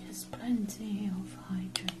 There's plenty of hydration.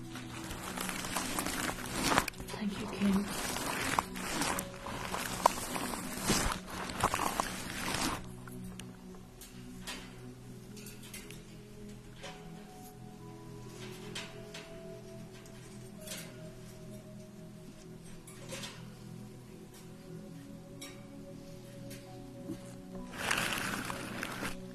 Thank you, Kim.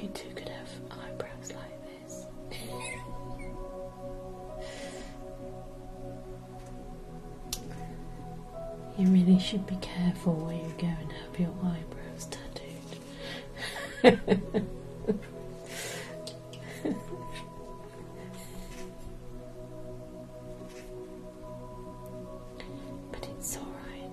You two could have eyebrows like this. You really should be careful where you go and have your eyebrows tattooed. but it's all right.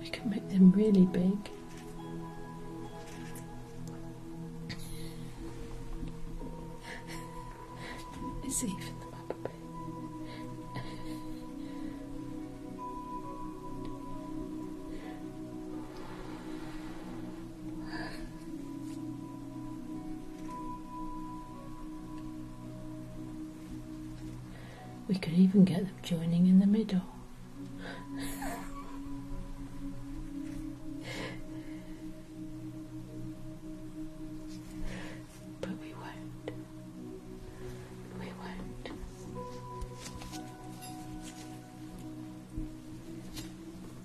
I can make them really big. it's even them up a bit. We could even get them joining in the middle. but we won't. We won't.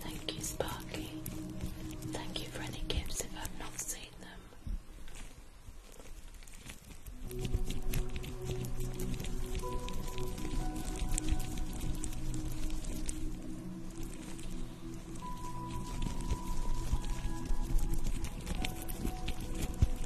Thank you, Sparky. Thank you for any gifts if I've not seen them.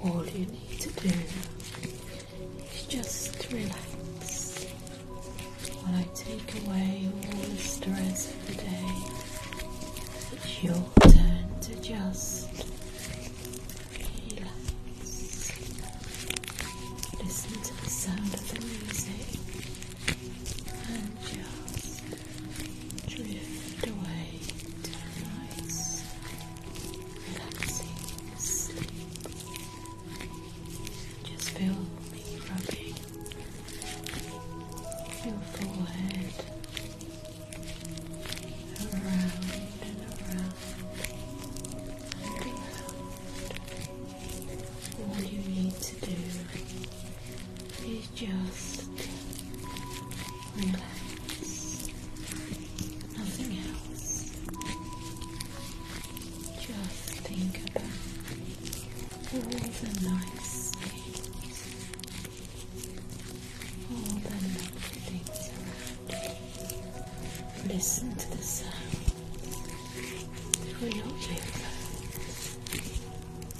All you need to do is just relax while I take away all the stress of the day. It's your turn to just relax. Listen to the sound of the music and just drift away to relaxing sleep. Just feel me rubbing your forehead around and around and around. All you need to do just relax, nothing else. Just think about all the nice things, all the lovely things around. Listen to the sound through your earphones.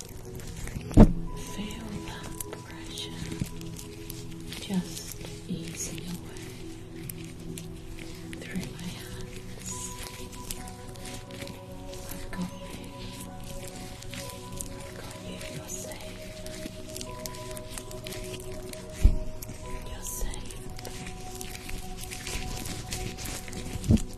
Feel that pressure just easing away through my hands. I've got you. I've got you. You're safe. You're safe.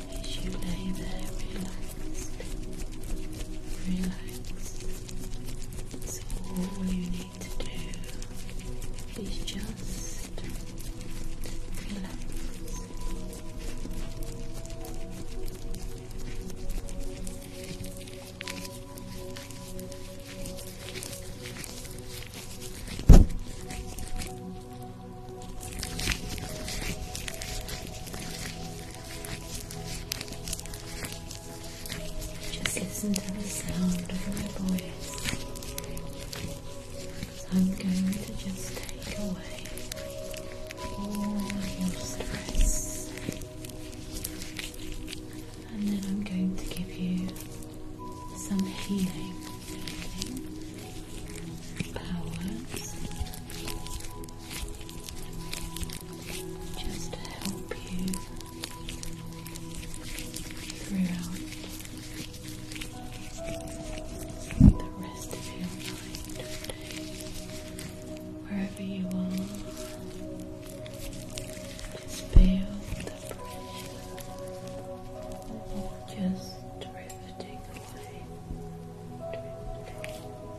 as you lay there relaxed, relaxed. So all you need to do is just Relax. Just listen to the sound of my voice. I'm going to just take away all your stress. And then I'm going to give you some healing powers just to help you throughout the rest of your night wherever you are. Just feel the pressure just drifting away.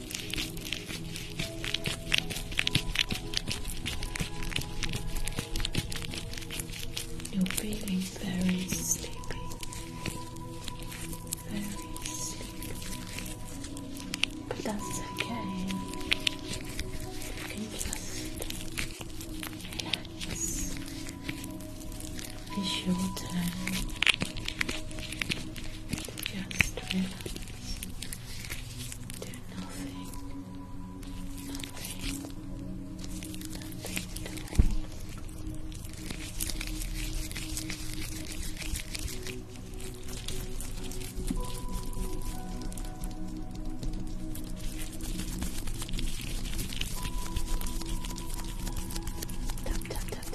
You're feeling very sleepy, very sleepy, but that's okay. You It's your turn. Just relax. Do nothing. Nothing. Nothing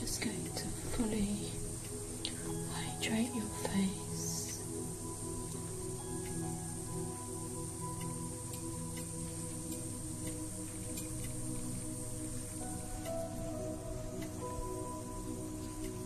Just going to fully hydrate your face.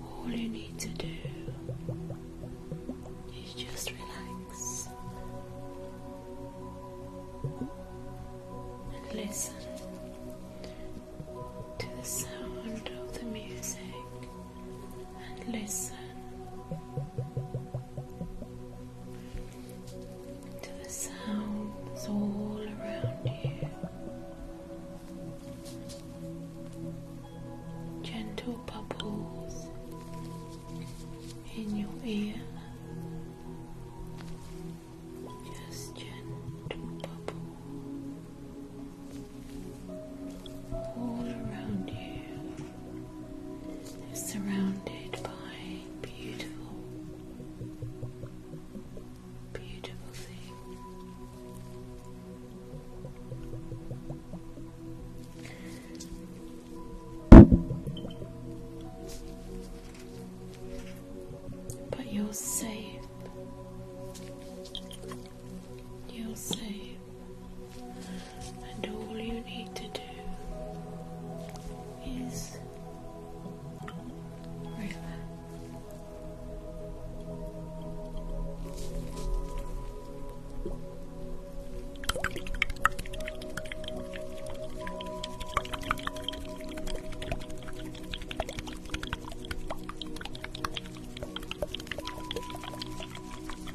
All you need to do is just relax and listen to the sound of the music and listen to the sounds all around you. Gentle bubbles in your ear. Just gentle bubbles all around you is surrounded by beautiful, beautiful things. But you're safe. You're safe and all you need to do is relax.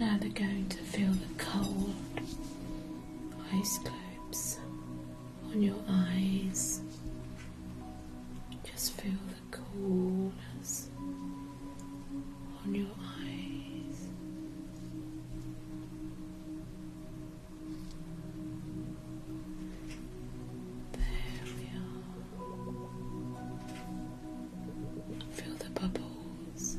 Now they're going to feel the cold ice cubes on your eyes. Just feel the coolness on your eyes. There we are. Feel the bubbles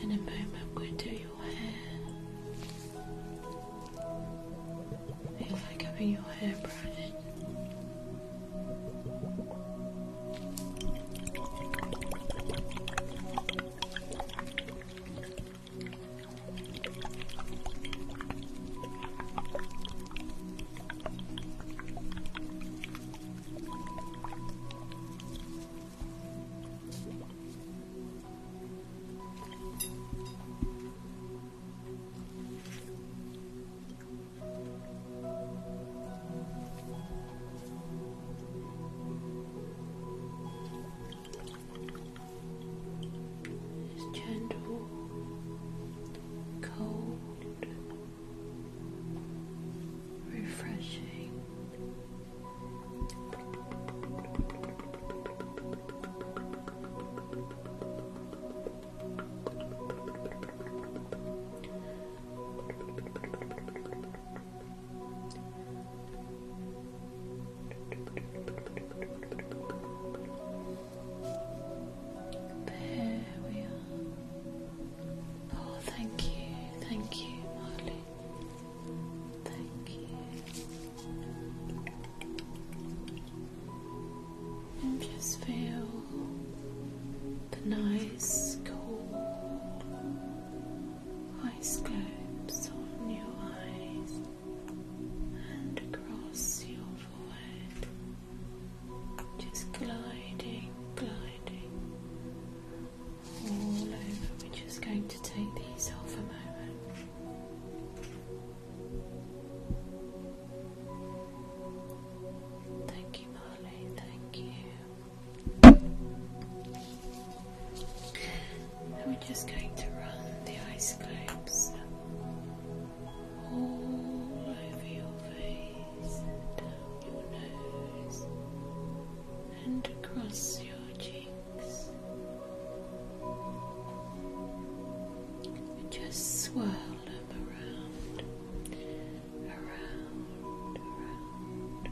In a moment, I'm going to do your hair. I like having your hair braided. It's gentle, cold, refreshing. There we are. Oh, thank you, thank you, Molly. And just feel the nice cool ice globes on your eyes and across your forehead. Just gliding, gliding we're just going to take these off a moment. Thank you, Molly. Thank you. And we're just going to run the ice globes all over your face, your nose, and across your cheeks. just swirl them around, around, around,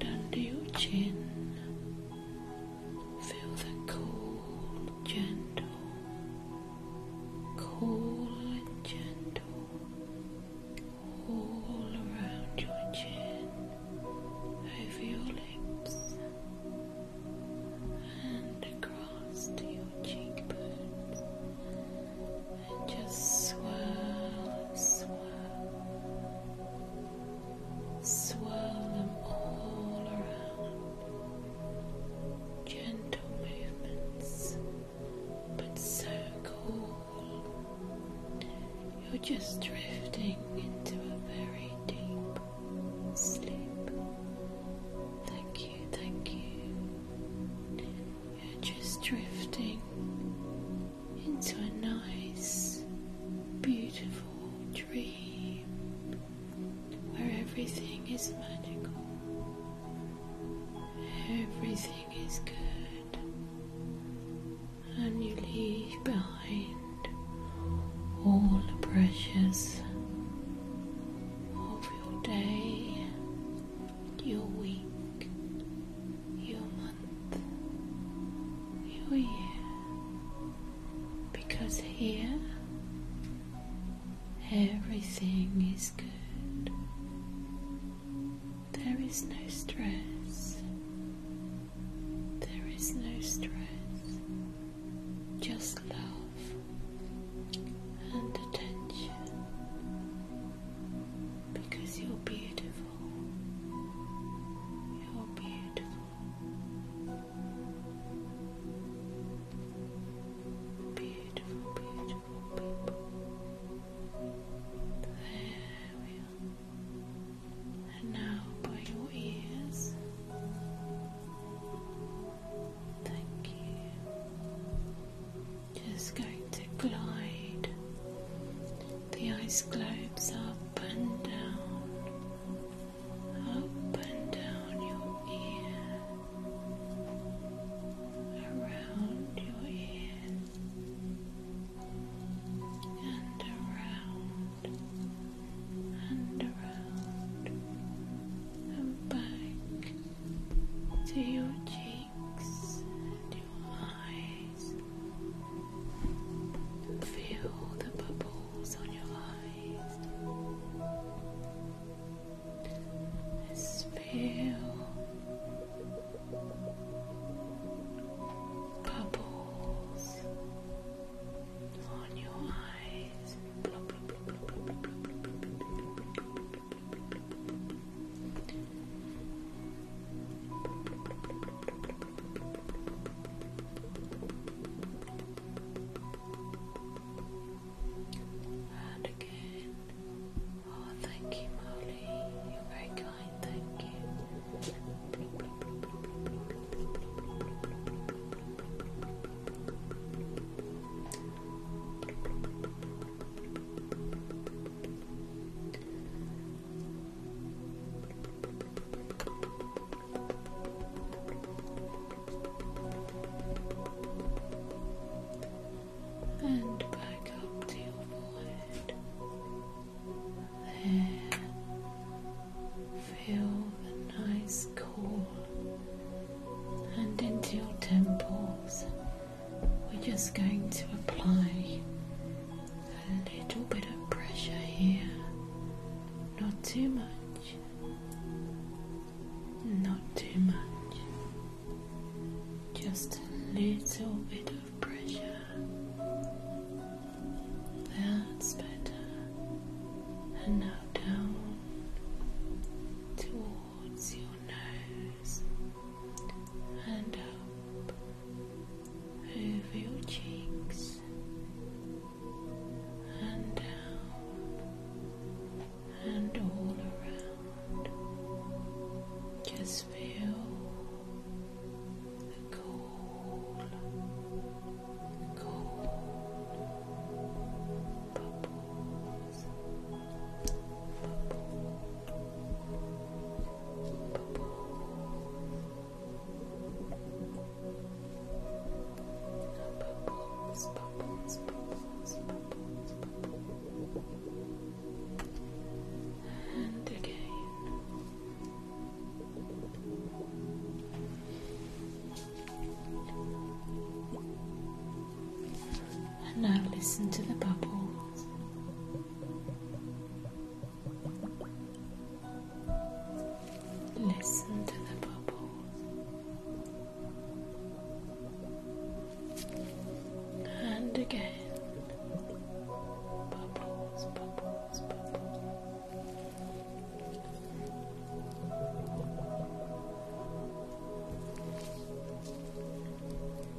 and under your chin. Feel the cool, gentle, cool and gentle all around your chin, over your lips, and across to your cheekbones, and just swirl, swirl, swirl them all around. Gentle movements, but so cool. You're just drifting into a very deep sleep. Thank you, thank you. You're just drifting into a nice, beautiful dream where everything is magical, everything is good and you leave behind all the pressures of your day, your week, your month, your year, because here everything is good. There is no stress. There is no stress. Just love and attention because you're beautiful. You're beautiful. Beautiful, beautiful people. There we and now by your ears. Thank you. Just going to glide the ice globes up and down, up and down your ear, around your ear and around and around and back to your cheeks and your eyes. And feel the bubbles on your eyes. Just feel bubbles on your eyes. And again. Oh, thank you, Molly. You're very kind, thank you. And back up to your forehead there. Feel the nice cool and into your temples. We're just going to apply a little bit of pressure here, not too much. Not too much, just a little bit of pressure. That's better. And now down towards your nose and up over your cheeks and down and all around. Just feel the cold, cool bubbles, bubbles, bubbles, bubbles, bubbles. And again, and now listen to the bubbles. Listen to the bubbles. And again bubbles, bubbles, bubbles.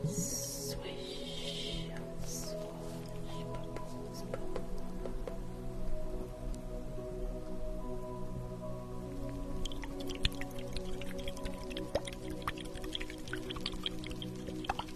Swish, swish, bubbles, bubbles. Bubbles,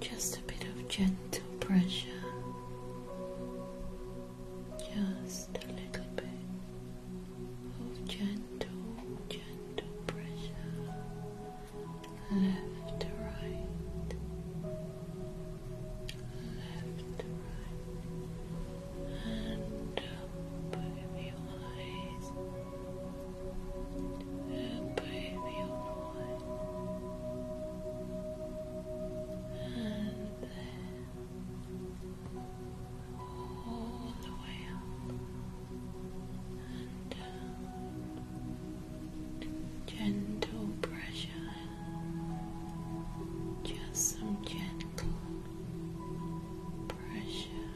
Just a bit of gentle pressure. Just a little bit of gentle, gentle pressure. Left right left to right, and up your eyes, up your voice, and then all the way up and Gentle pressure, just some gentle pressure,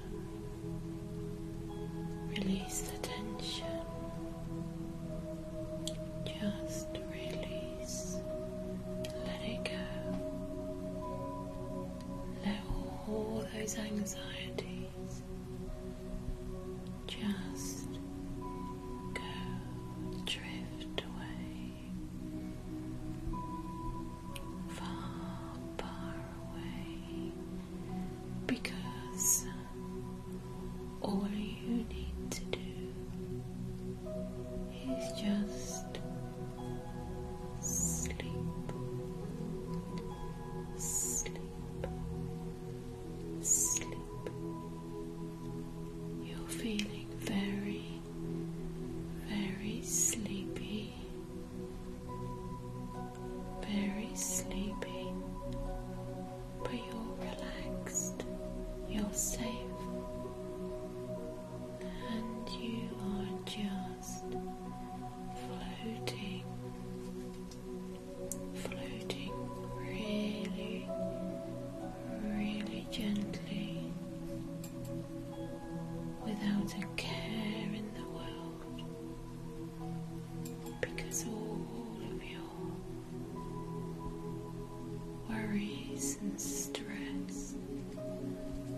release the tension, just release, let it go, let all those anxieties just go drift away far, far away, because all you need to do is just sleep, sleep, sleep. You're feeling very very sleepy, very sleepy, but you're relaxed, you're safe, and you are just floating, floating really, really gently without a care in the world because all of your worries and stress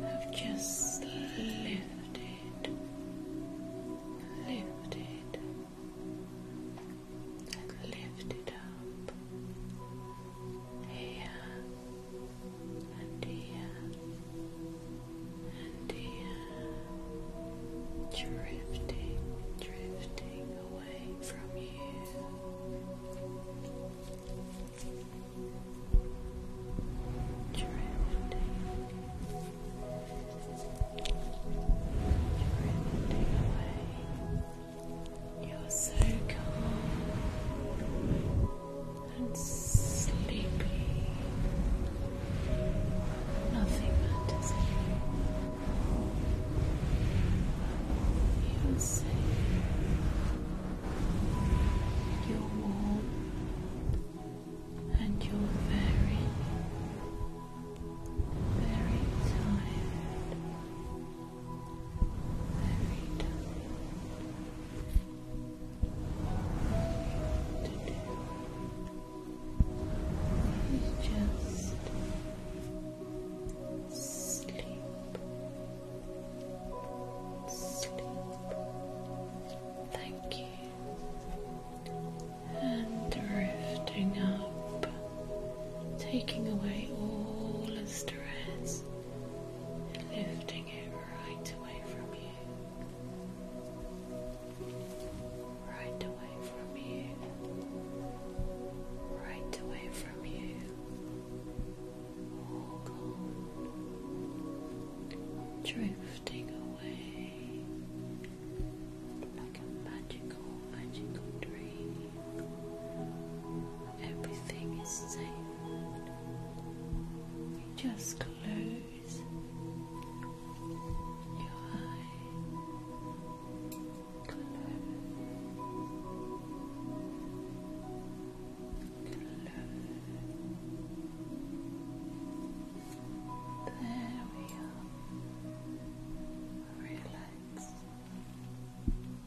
have just lifted, lifted, and lifted up here and drifting, drifting away from you, drifting. Drifting away, you're so calm and sleepy. Nothing matters anymore. You're safe. You're warm and you're very, very tired every time. To is just sleep, sleep. Thank you. And drifting up, taking away all the stress lifting it right away from you, right away from you, right away from you, all gone, drifting away like a magical, magical dream. Everything is safe just close your eye. Close. Close. There we are. Relax.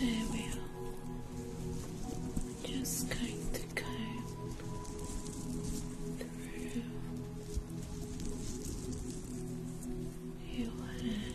There we are. Just going to go through your hair.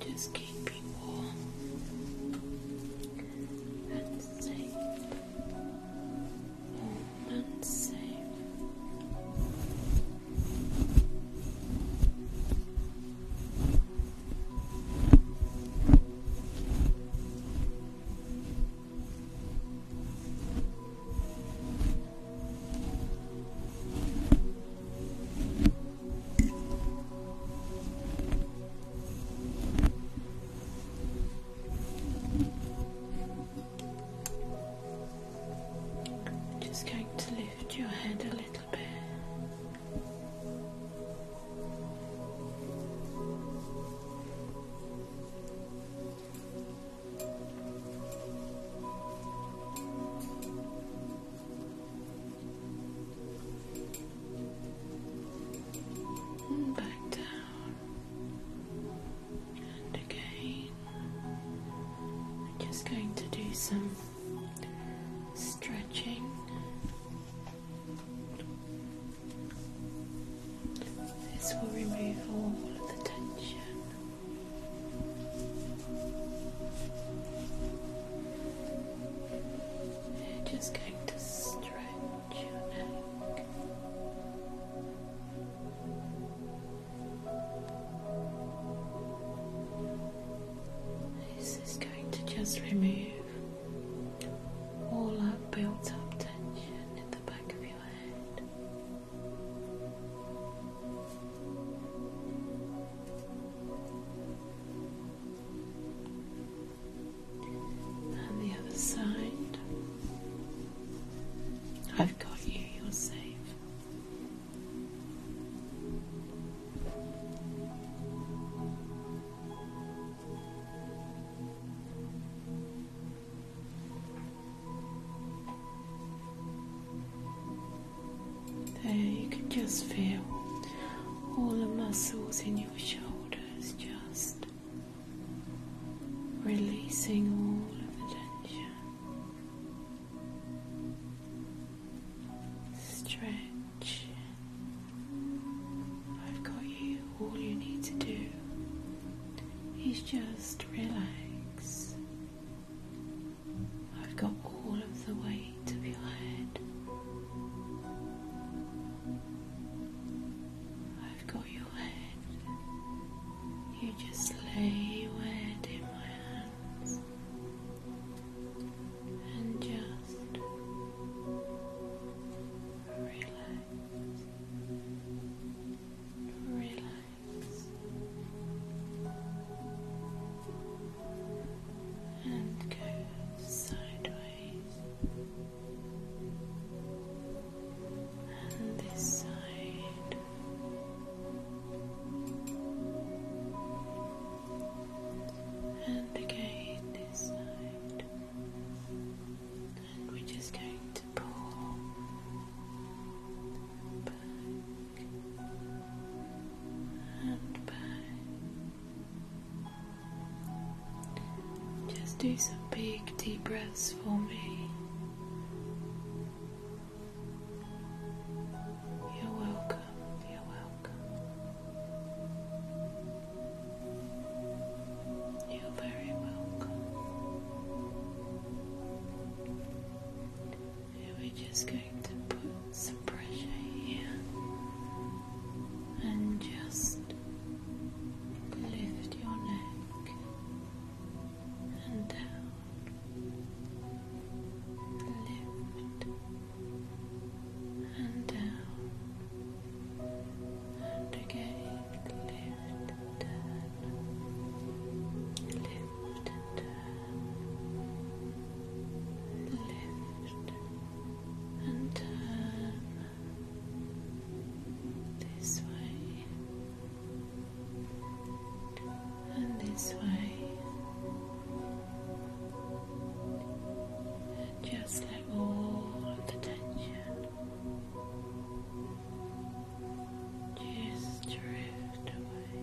and just keep you warm and just going to lift your head a little bit. And back down. And again, just going to do some stretching. This will remove all of the tension. Just going to stretch your neck. This is going to just remove all that built up tension in the back of your head and the other side. I've got you, you're safe. There, you can just feel all the muscles in your shoulders, just releasing all of the tension. Stretch. I've got you. All you need to do is just relax. I've got all of the weight of your head I've got your head. You just lay your head in my hands and just relax. Relax and go sideways and this side. And again, this side. And we're just going to pull back and back just do some big deep breaths for me. You're welcome, you're welcome. You're very welcome. And we're just going to put some pressure here and just lift your neck and down, lift and down, and again lift and down, lift and down, lift. And down and turn uh, this way and this way. just let all the tension just drift away.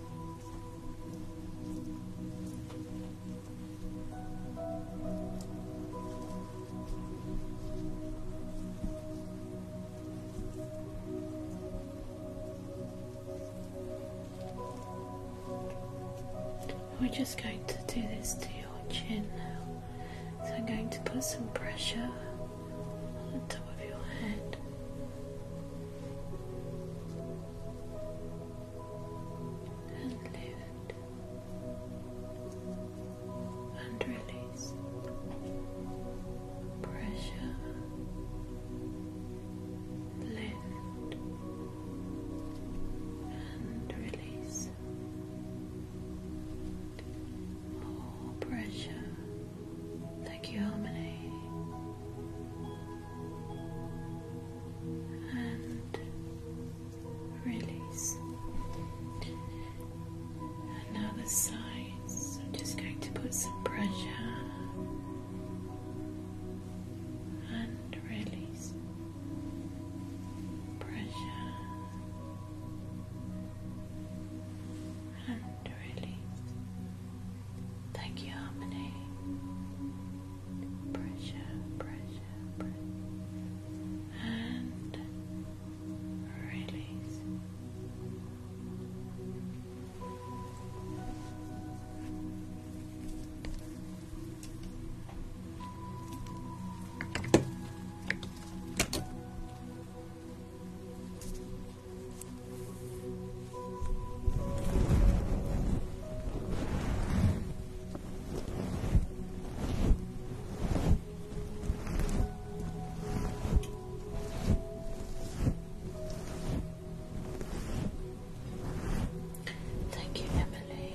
We're just going to do this to your chin now. So I'm going to put some pressure the top of your head. And lift and release pressure. Lift and release more pressure Thank you, Harmony. And release. And now I'm just going to put some pressure. And release. Pressure. And release. Thank you, Harmony. Pressure, pressure, And release. Thank you, Emily.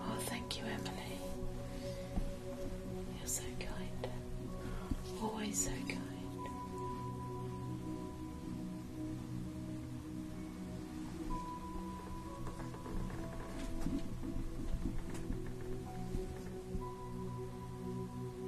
Oh, thank you, Emily. You're so kind. Always so kind.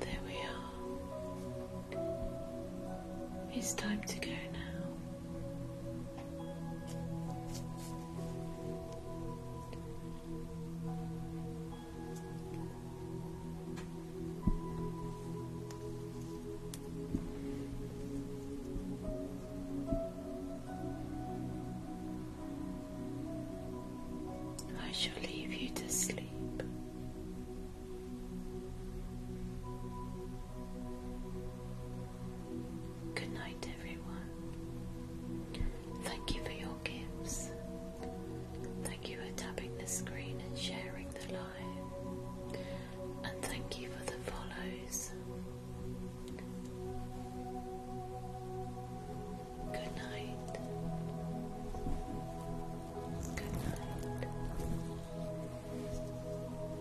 There we are. It's time to go now. I shall leave you to sleep. Good night, everyone. Thank you for your gifts. Thank you for tapping the screen and sharing the live. And thank you for the follows. Good night. Good night.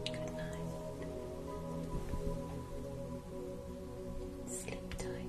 Good night. Sleep tight.